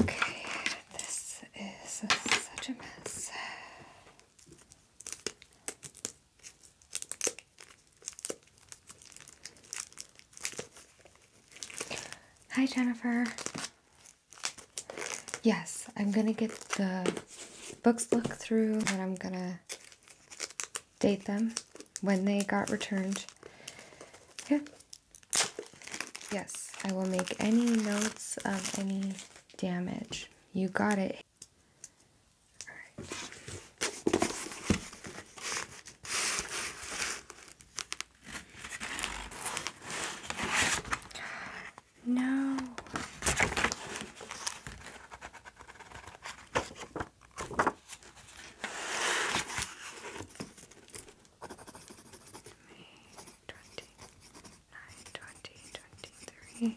Okay, this is such a mess. Hi, Jennifer. Yes, I'm gonna get the books looked through, and I'm gonna date them when they got returned. Okay. Yes, I will make any notes of any damage. You got it. No twenty, twenty-three.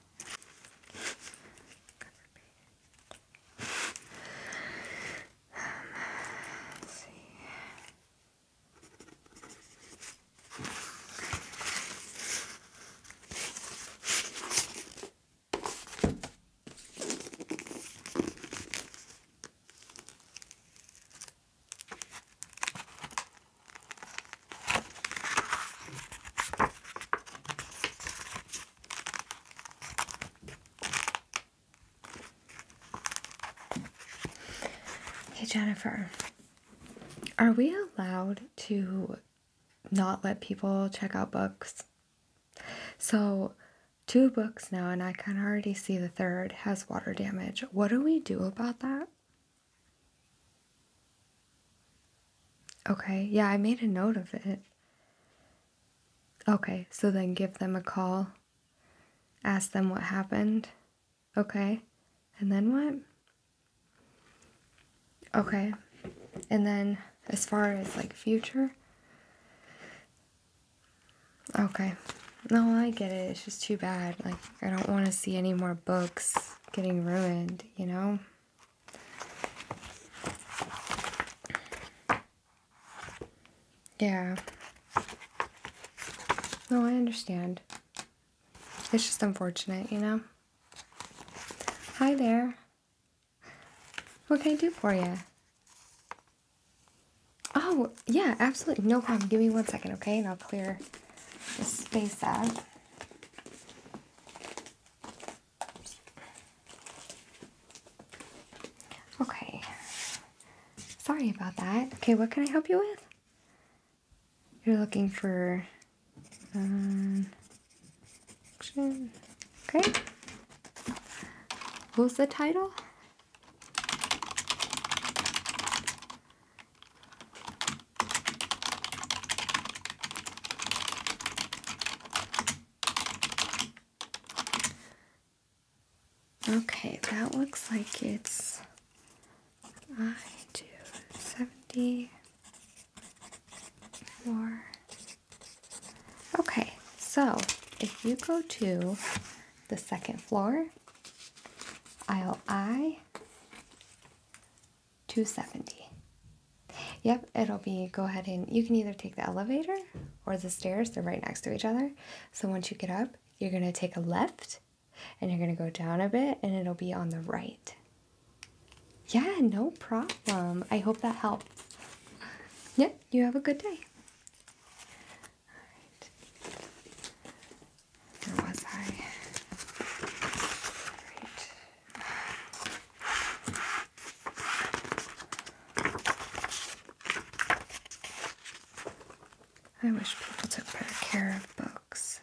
Cover page. Um, let's see. Okay. Hey Jennifer, are we allowed to not let people check out books? So, two books now, and I can already see the third has water damage. What do we do about that? Okay, yeah, I made a note of it. Okay, so then give them a call. Ask them what happened. Okay, and then what? Okay, and then as far as like future? Okay, no, I get it. It's just too bad. Like, I don't want to see any more books getting ruined, you know? Yeah. No, I understand. It's just unfortunate, you know? Hi there. What can I do for you? Oh, yeah, absolutely. No problem. Give me one second, okay? And I'll clear the space out. Okay. Sorry about that. Okay, what can I help you with? You're looking for um, Okay. What the title? Okay, that looks like it's I do 70 Okay, so if you go to the second floor, i will I, 270 Yep, it'll be go ahead and you can either take the elevator or the stairs, they're right next to each other. So once you get up, you're going to take a left and you're going to go down a bit and it'll be on the right. Yeah, no problem. I hope that helped. Yep, you have a good day. Where was I? I wish people took better care of books.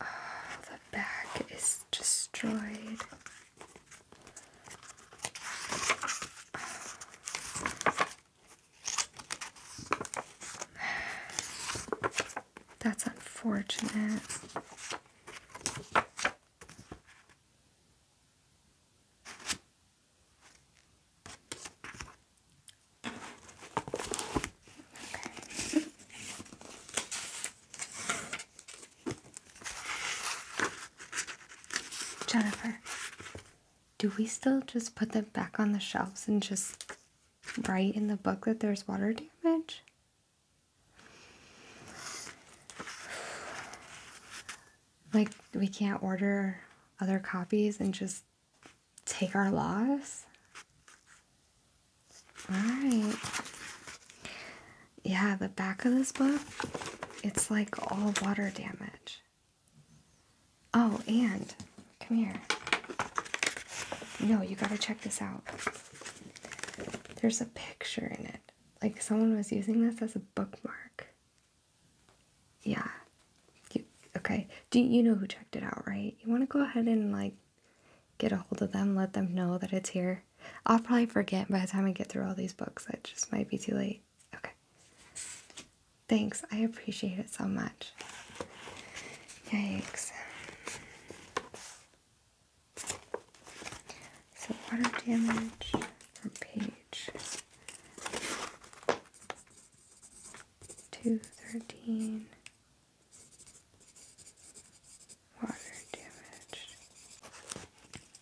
Oh, the back is destroyed. That's unfortunate. Jennifer, do we still just put them back on the shelves and just write in the book that there's water damage? Like, we can't order other copies and just take our loss? Alright yeah, the back of this book, it's like all water damage. Oh, and come here. No, you gotta check this out. There's a picture in it. Like someone was using this as a bookmark. Yeah. You, okay. Do you know who checked it out, right? You want to go ahead and like get a hold of them, let them know that it's here. I'll probably forget by the time I get through all these books. It just might be too late. Okay. Thanks, I appreciate it so much. Yikes. So, water damage page 213. Water damage.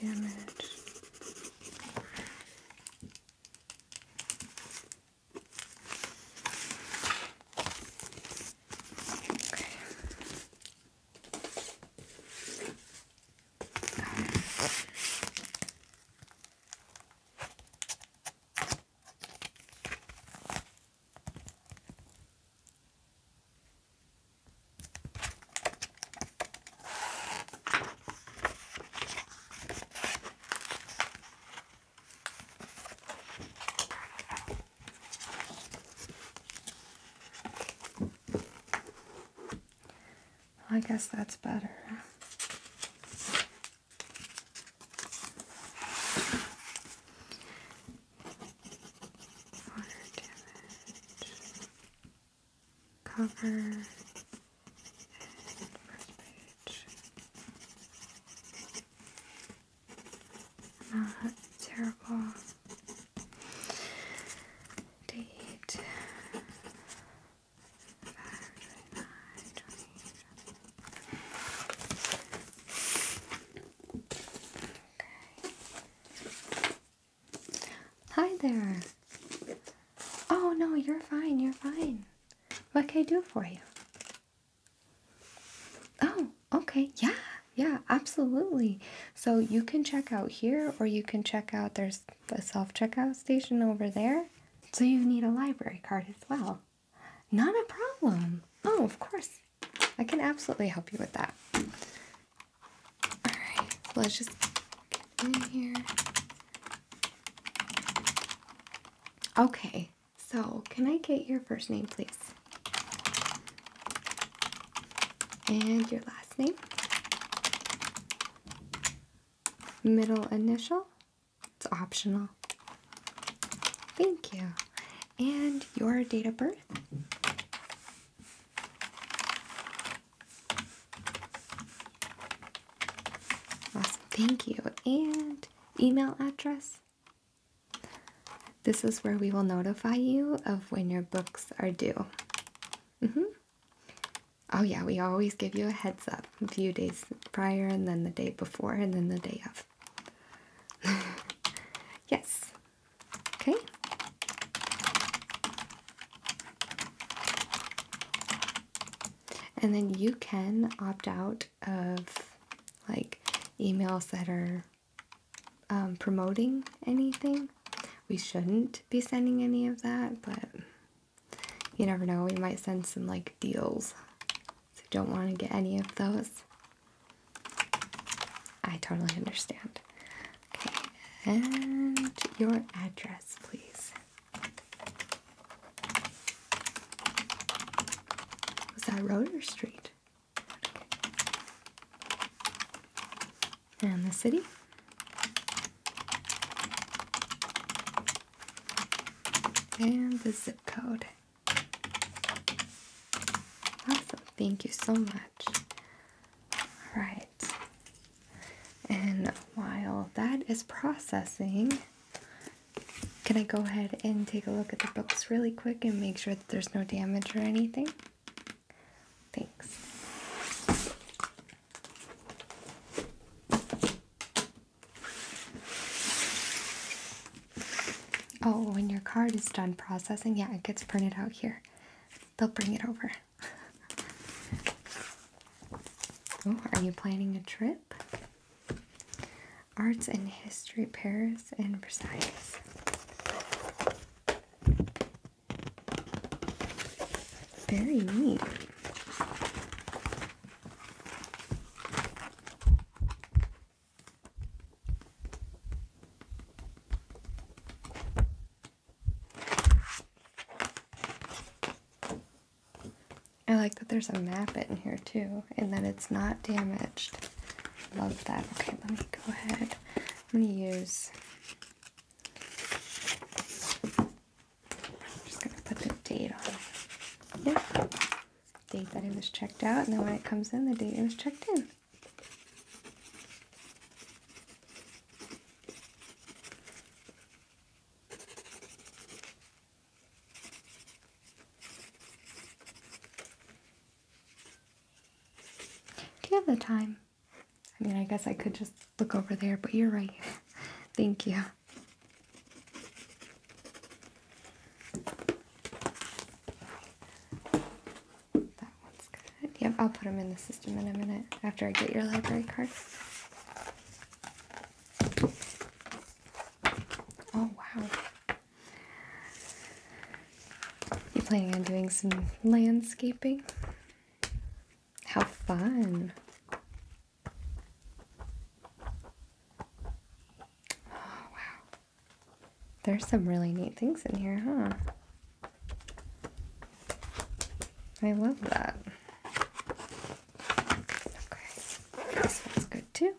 damage. I guess that's better cover, first page. Not terrible date. Okay. Hi there. Oh no, you're fine, you're fine. What can I do for you? Oh, okay, yeah, yeah, absolutely. So you can check out here, or you can check out there's a self checkout station over there. So you need a library card as well. Not a problem. Oh, of course. I can absolutely help you with that. Alright, so let's just get in here. Okay, so can I get your first name, please? And your last name? Middle initial? It's optional. Thank you. And your date of birth? Awesome. Thank you. And email address. This is where we will notify you of when your books are due. Mm hmm Oh yeah, we always give you a heads up a few days prior and then the day before and then the day of. yes. Okay. And then you can opt out of like emails that are um, promoting anything. We shouldn't be sending any of that, but you never know. We might send some like deals. So don't want to get any of those. I totally understand. Okay, and your address, please. Was that road or street? And the city? And the zip code. Awesome, thank you so much. All right, and while that is processing, can I go ahead and take a look at the books really quick and make sure that there's no damage or anything? Thanks. Oh, when your card is done processing, yeah, it gets printed out here. They'll bring it over. oh, are you planning a trip? Arts and History, Paris and Versailles. Very neat. I like that there's a map in here too, and that it's not damaged. Love that. Okay, let me go ahead. I'm gonna use. I'm just gonna put the date on. Yep. Yeah. Date that it was checked out, and then when it comes in, the date it was checked in. Do you have the time? I mean, I guess I could just look over there, but you're right. Thank you. That one's good. Yep, I'll put them in the system in a minute after I get your library card. Oh, wow. You planning on doing some landscaping? How fun! Oh, wow. There's some really neat things in here, huh? I love that. Okay, this one's good too.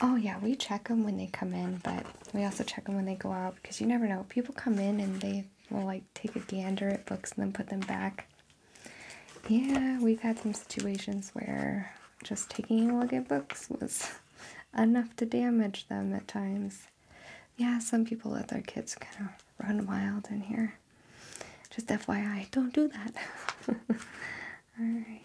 Oh yeah, we check them when they come in, but we also check them when they go out because you never know. People come in and they will like take a gander at books and then put them back. Yeah, we've had some situations where just taking a look at books was enough to damage them at times. Yeah, some people let their kids kind of run wild in here. Just FYI, don't do that. Alrighty.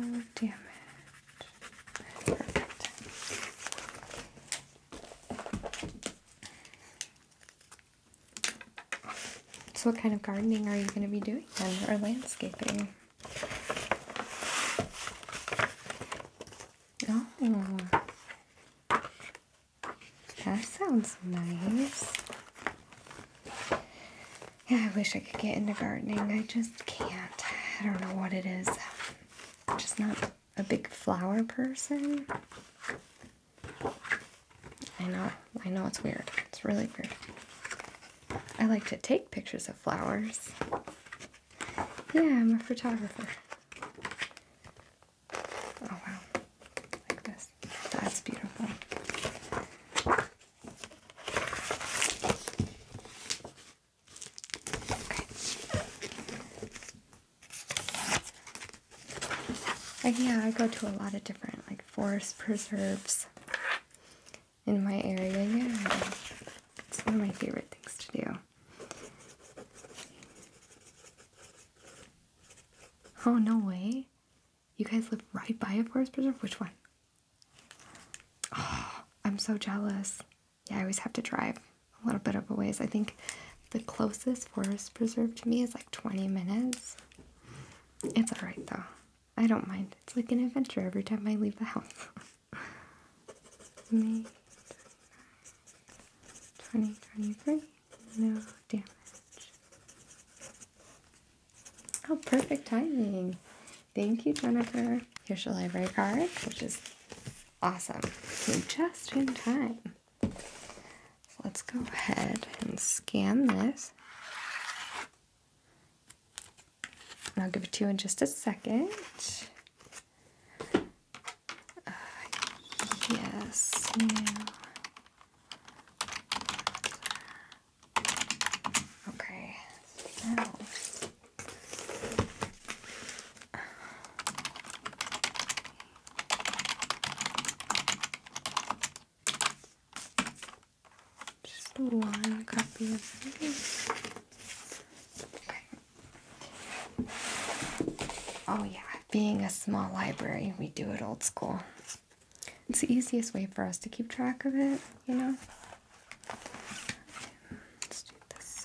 Oh, damn so what kind of gardening are you going to be doing then, or landscaping? Oh, that sounds nice. Yeah, I wish I could get into gardening. I just can't. I don't know what it just not a big flower person. I know, I know it's weird. It's really weird. I like to take pictures of flowers. Yeah, I'm a photographer. Oh wow. Like this. That's beautiful yeah, I go to a lot of different, like, forest preserves in my area. Yeah, it's one of my favorite things to do. Oh, no way. You guys live right by a forest preserve? Which one? Oh, I'm so jealous yeah, I always have to drive a little bit of a ways. I think the closest forest preserve to me is like 20 minutes. It's alright though. I don't mind. It's like an adventure every time I leave the house. May 2023. No damage. Oh, perfect timing. Thank you, Jennifer. Here's your library card, which is Awesome. You're just in time. let's go ahead and scan this. I'll give it to you in just a second. Uh, yes, now. Okay, just one copy of these. Oh yeah, being a small library, we do it old school. It's the easiest way for us to keep track of it, you know? Let's do this.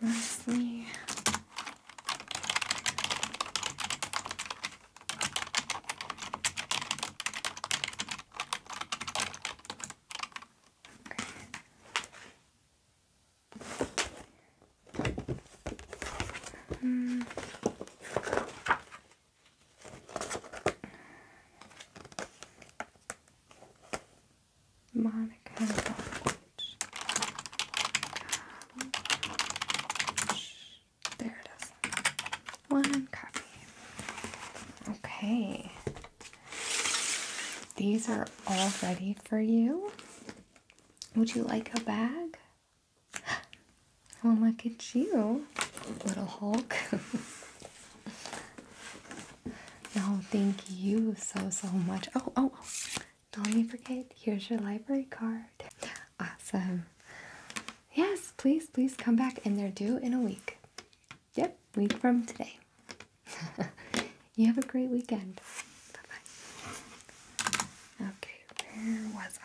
Mostly okay. mm. Monica Lodge. There it is. One copy. Okay. These are all ready for you. Would you like a bag? Oh, look at you, little Hulk. No, oh, thank you so so much. Oh, oh, oh. Don't let me forget. Here's your library card. Awesome. Yes, please, please come back and they're due in a week. Yep, week from today. you have a great weekend. Bye bye. Okay, where was I?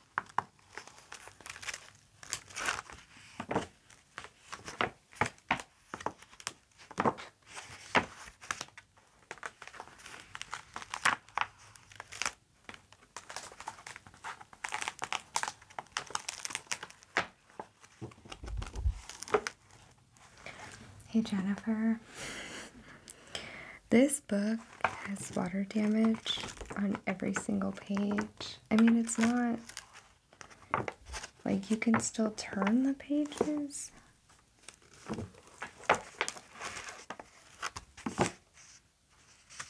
Hey Jennifer, this book has water damage on every single page. I mean, it's not like you can still turn the pages.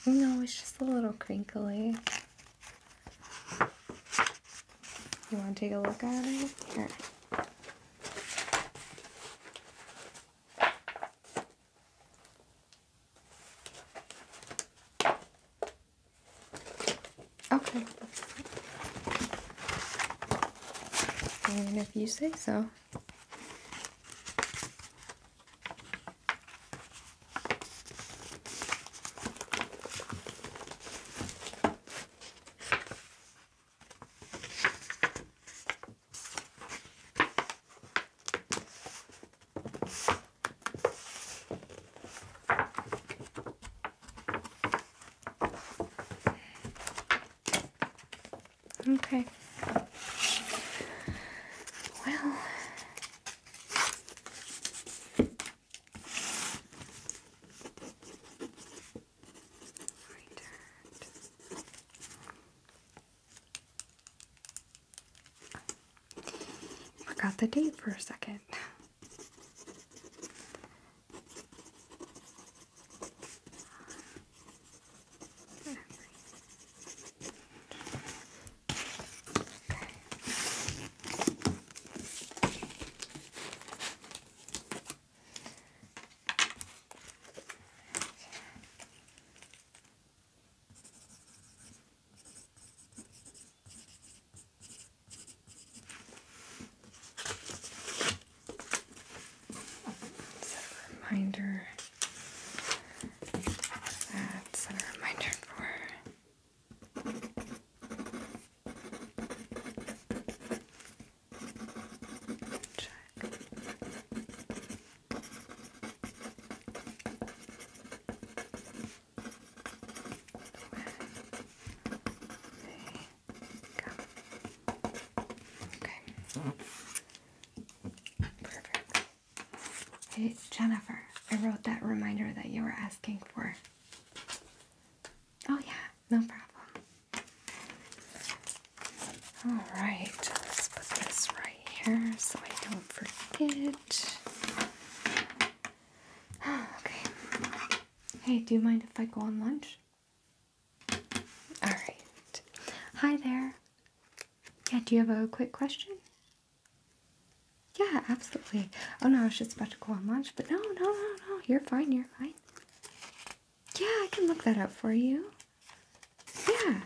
No, it's just a little crinkly. You want to take a look at it? Here. Okay. I if you say so. Okay. Well, Forgot the date for a second. Set a reminder. set a reminder for. Check. Okay. Perfect. Hey, Jennifer, I wrote that reminder that you were asking for. Oh, yeah, no problem. Alright, let's put this right here so I don't forget. Ah, hey, do you mind if I go on lunch? Alright. Hi there. Yeah, do you have a quick question? Yeah, absolutely. Oh no, I was just about to go on lunch, but no, no, no, no. You're fine, you're fine. Yeah, I can look that up for you. Yeah.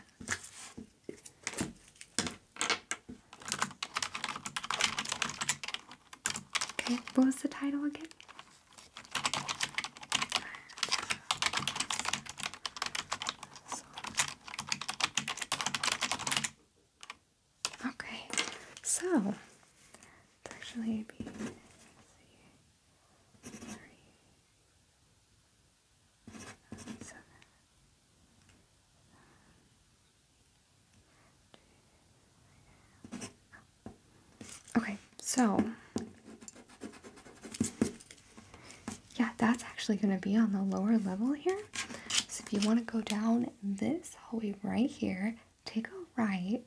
Okay, what was the title again? Okay, so actually three, Okay, so yeah, that's actually going to be on the lower level here. So if you want to go down this hallway right here, take a right.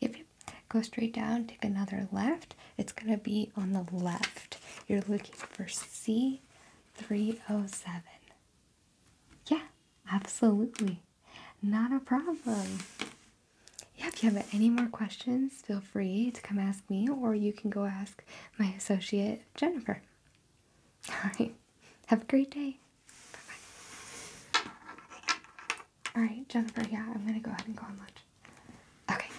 If you Go straight down, take another left, it's going to be on the left. You're looking for C307. Yeah, absolutely. Not a problem. Yeah, if you have any more questions, feel free to come ask me or you can go ask my associate, Jennifer. All right. Have a great day. Bye bye. All right, Jennifer, yeah, I'm going to go ahead and go on lunch. Okay.